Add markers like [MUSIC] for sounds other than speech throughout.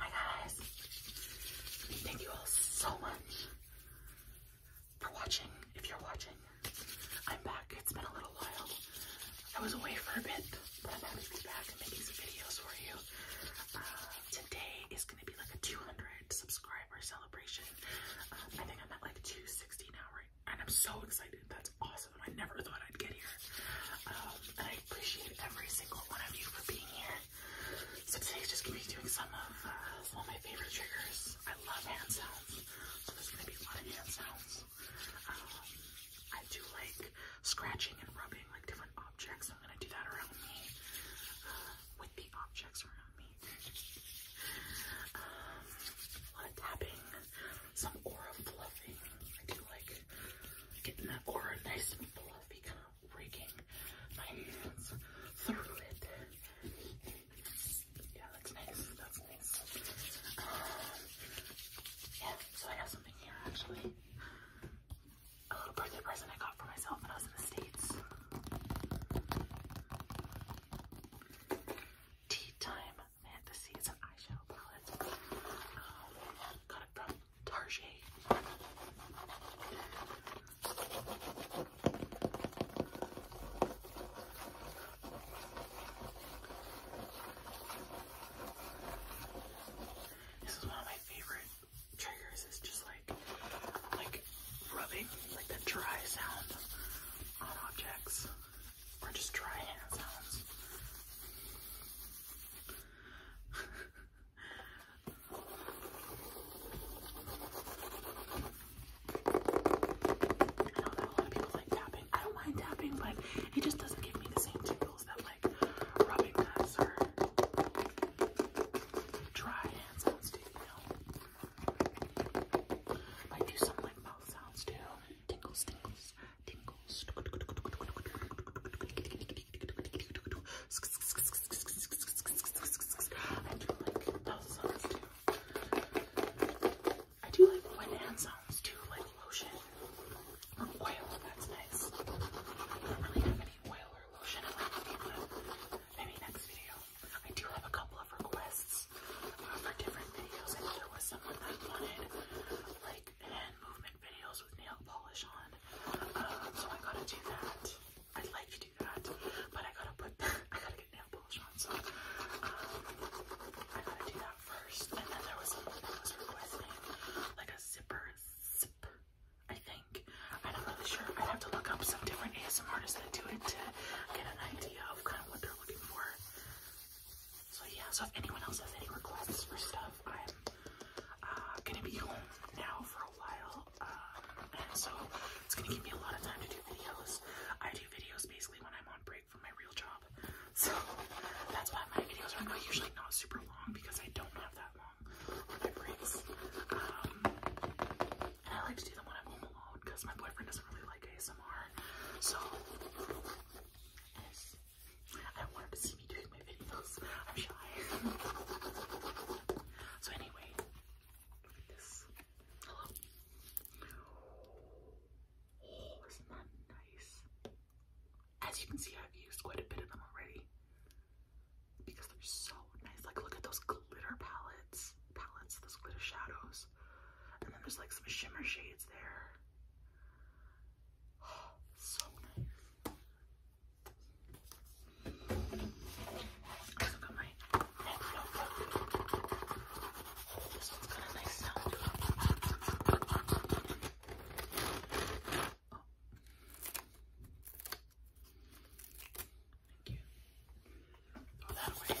Hi guys. Thank you all so much for watching. If you're watching, I'm back. It's been a little while. I was away for a bit, but I'm happy to be back and making some videos for you. Uh, today is going to be like a 200 subscriber celebration. Um, I think I'm at like 260 now, right? And I'm so excited. That's awesome. I never thought I'd get here. Um, I every single one of you for being here. So today's just gonna be doing some of uh, my favorite triggers. I love hand sounds, so there's gonna be a lot of hand sounds. Um, I do like scratching and rubbing like different objects. I'm gonna do that around me uh, with the objects around me. Um, a lot of tapping, some aura fluffing. I do like getting that aura nice and fluffy kind Breaking my hands through it. Yeah, that's nice. That's nice. yeah, so I have something here actually. A little birthday present I got for myself when I was in the States. Tea Time Fantasy. It's eyeshadow palette. Um, got it from Target. This is one of my favorite triggers. It's just like like rubbing, like the dry sound on objects, or just dry hand sounds. [LAUGHS] I know a lot of people like tapping. I don't mind tapping, but it just doesn't give me the same tingles that like rubbing hands or dry hands sounds do, I do some like mouth sounds too. Tingles, tingles, tingles. I do like those hand sounds too, like lotion oil. That's nice. I don't really have any oil or lotion maybe next video. I do have a couple of requests uh, for different videos. there was someone that wanted like hand movement videos with nail polish on. Um, so I gotta do that. I'd like to do that, but I gotta put [LAUGHS] I gotta get nail polish on. So um, I gotta do that first. And then there was someone that was like a zipper zip. I think. I'm not really sure. i have to look up some different ASM that do it to get an idea of kind of what they're looking for. So yeah, so if anyone else has any requests for stuff, I'm uh, gonna be home now for a while, uh, and so it's gonna give me a lot of time to do videos. I do videos basically when I'm on break from my real job, so that's why my videos are usually not super long because I don't have that long for breaks. Um, I like to do them when I'm home alone because my boyfriend doesn't really like ASMR, so. I wanted I'm shy. [LAUGHS] so anyway, oh, As you can see, I've used quite a bit of them already because they're so nice. Like, look at those glitter palettes, palettes, those glitter shadows, and then there's like some shimmer shades there. [GASPS] so nice. Let's look at my neck flow. This one's got a nice sound. Oh. Thank you. Throw that away.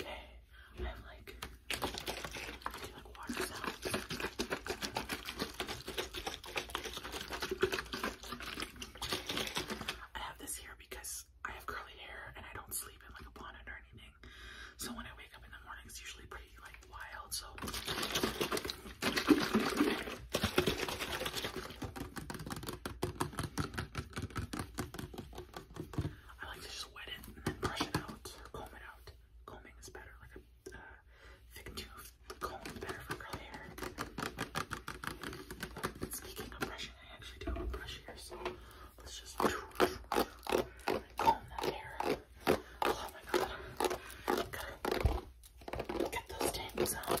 Okay, I have like, I water sounds. I have this here because I have curly hair and I don't sleep in like a bonnet or anything. So when I wake up in the morning, it's usually pretty like wild. So. I like to just wet it and then brush it out, comb it out. Combing is better, like a uh, thick tooth comb is better for curly hair. speaking of brushing, I actually do brush here, so let's just comb that hair. Oh my god, get those tangles out.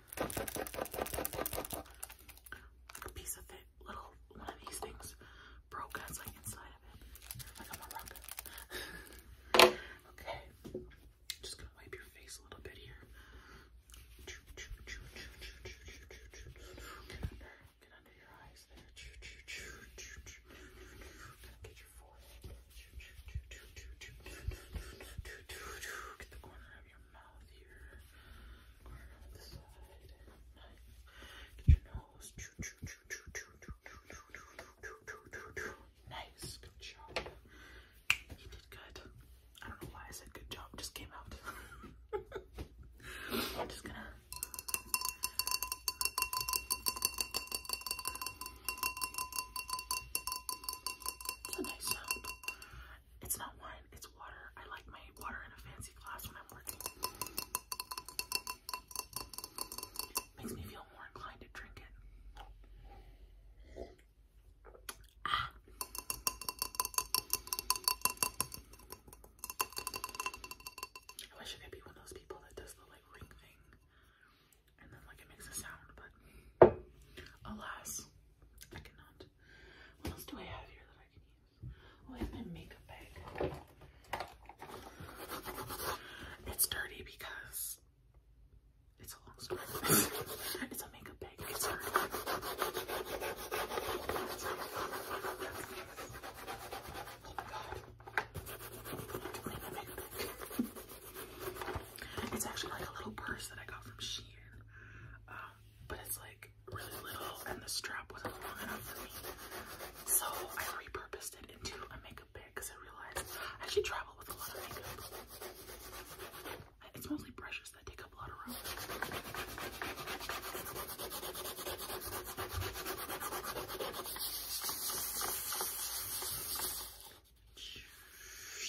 A piece of it, little one of these things broke and like inside of it. Like I'm a rocket. [LAUGHS] okay. Just gonna wipe your face a little bit here. Get under, your eyes Get your forehead. Get the corner of your mouth here. Corner on the side. Get your nose. Nice. Good job. You did good. I don't know why I said good job. It just came out. [LAUGHS] I'm just gonna. It's a It's not wine, it's water. I like my water in a fancy glass when I'm working. Makes me feel more inclined to drink it. Ah. I wish I could be one of those people that does the like ring thing alas, I cannot. What else do I have here that I can use? Oh, I have my makeup bag. It's dirty because it's a long story. [LAUGHS] it's a makeup bag. It's dirty. Oh my god. Clean my makeup bag. It's actually like a little purse that I got from Shein. Um, but it's like really little and the strap wasn't long enough for me. So I repurposed it into a makeup bag because I realized I actually travel with a lot of makeup. It's mostly brushes that take up a lot of room.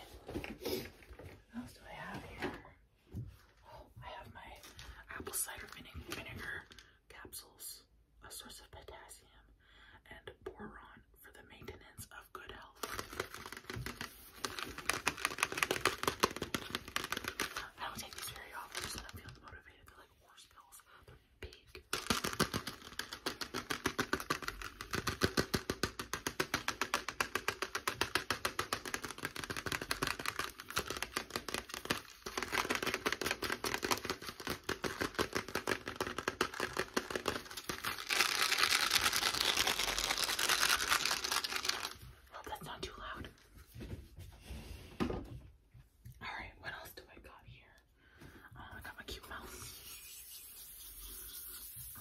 What else do I have here? Oh, I have my apple cider vinegar capsules, a source of potassium, and boron for the maintenance of good health. I don't take these very often, so I feel motivated. They're like horse pills. They're big. Hope that's not too loud. Alright, what else do I got here? Oh, I got my cute mouse. Oh,